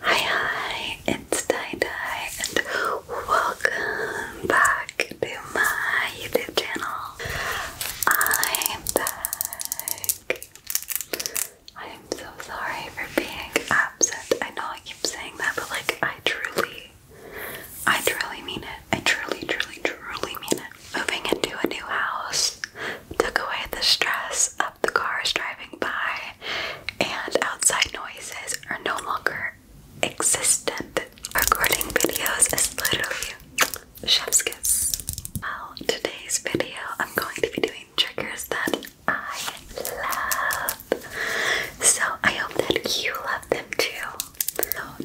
Hi, hi, it's Dai and welcome back to my YouTube channel. I'm back. I am so sorry for being absent. I know I keep saying that, but like, I truly, I truly mean it. I truly, truly, truly mean it. Moving into a new house took away the stress of the cars driving by, and outside noises are no longer existent. Recording videos is literally chef's kiss. Well, today's video, I'm going to be doing triggers that I love. So I hope that you love them too.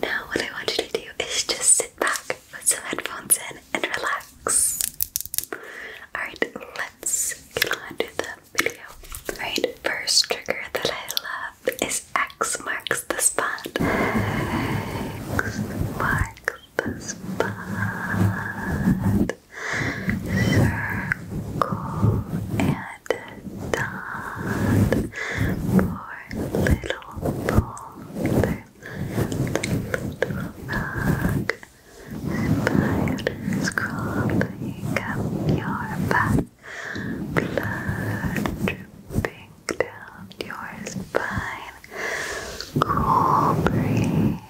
now what I want you to do is just sit back, put some headphones in, and relax. Alright, let's get on the video. Alright, first trigger that I love is X marks the spot. X marks the spot circle and dot. Poor little boulder, little rock. Spiders crawling up your back. Blood dripping down your spine. Cool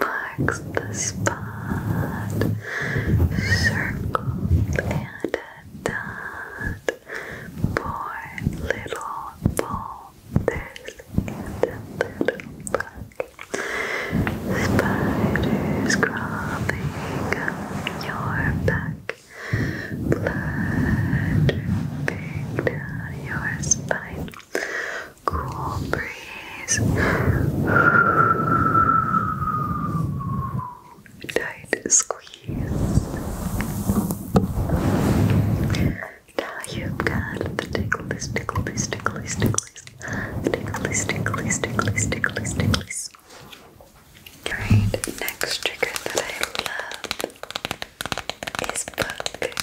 marks the spot, Circle and a dot. Poor little bull, there's a little bug. Spiders crawling up your back, blood dripping down your spine cool breeze. Tight squeeze. Now you've got the ticklies, ticklies, ticklies, ticklies, ticklies, ticklies, ticklies, ticklies, ticklies. Alright, next trigger that I love is book.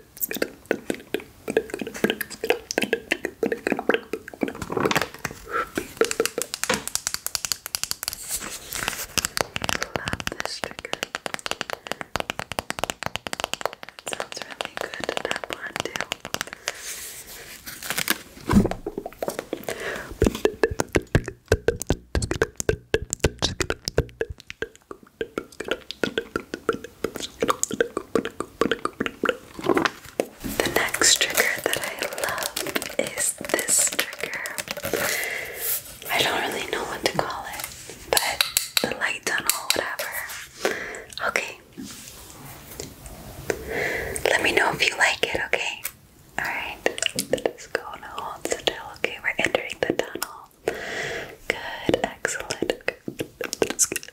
love this trigger. It sounds really good to tap on too. The next trigger that I love is this trigger. I don't really know what to call it, but the light tunnel, whatever. Okay. Let me know if you like it, okay? Alright. Let's Okay, we're entering the tunnel well. Good, excellent. Good.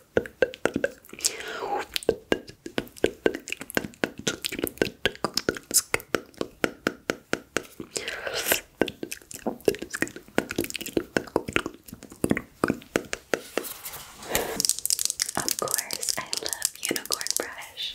Of course, I love unicorn brush.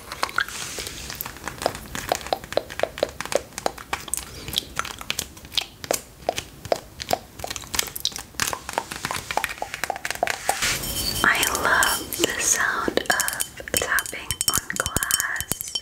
I love the sound of tapping on glass.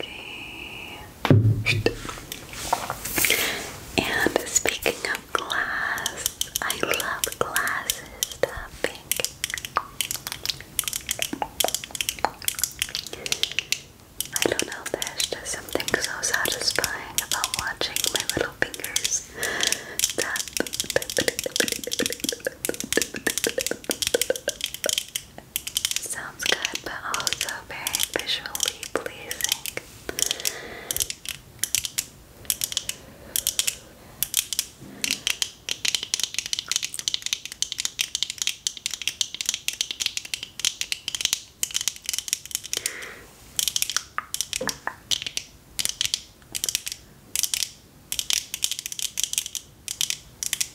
Okay. And speaking of glass, I love glasses I don't know, there's just something so satisfying about watching my little fingers Sounds good, but also very visually pleasing.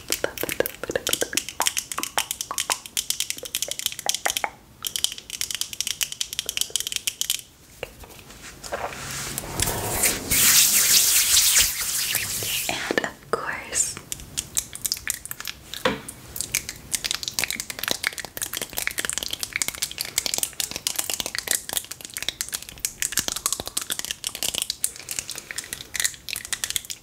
And of course,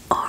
or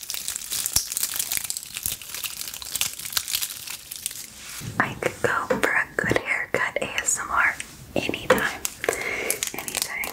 I could go for a good haircut ASMR anytime. Anytime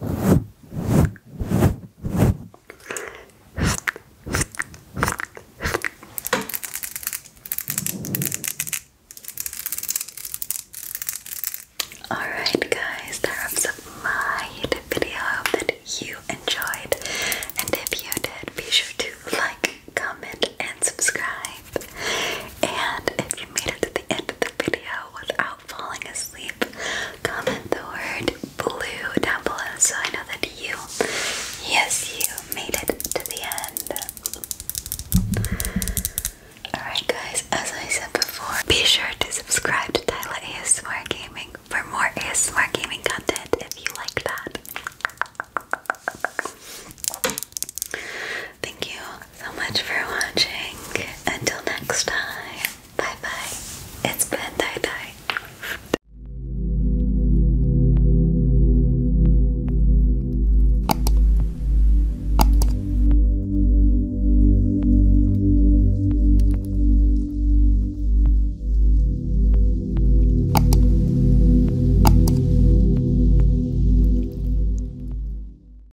Alright, guys, that wraps up my YouTube video. I hope that you enjoyed. And if you did, be sure to like, comment, and subscribe. And if you made it to the end of the video without falling asleep, comment the word blue down below so I know that you, yes, you made it to the end. Alright, guys, as I said before, be sure to subscribe to Tyla ASMR Gaming for more ASMR gaming content if you like that. Thank you so much for watching. Until next time, bye bye. It's been Dai Dai.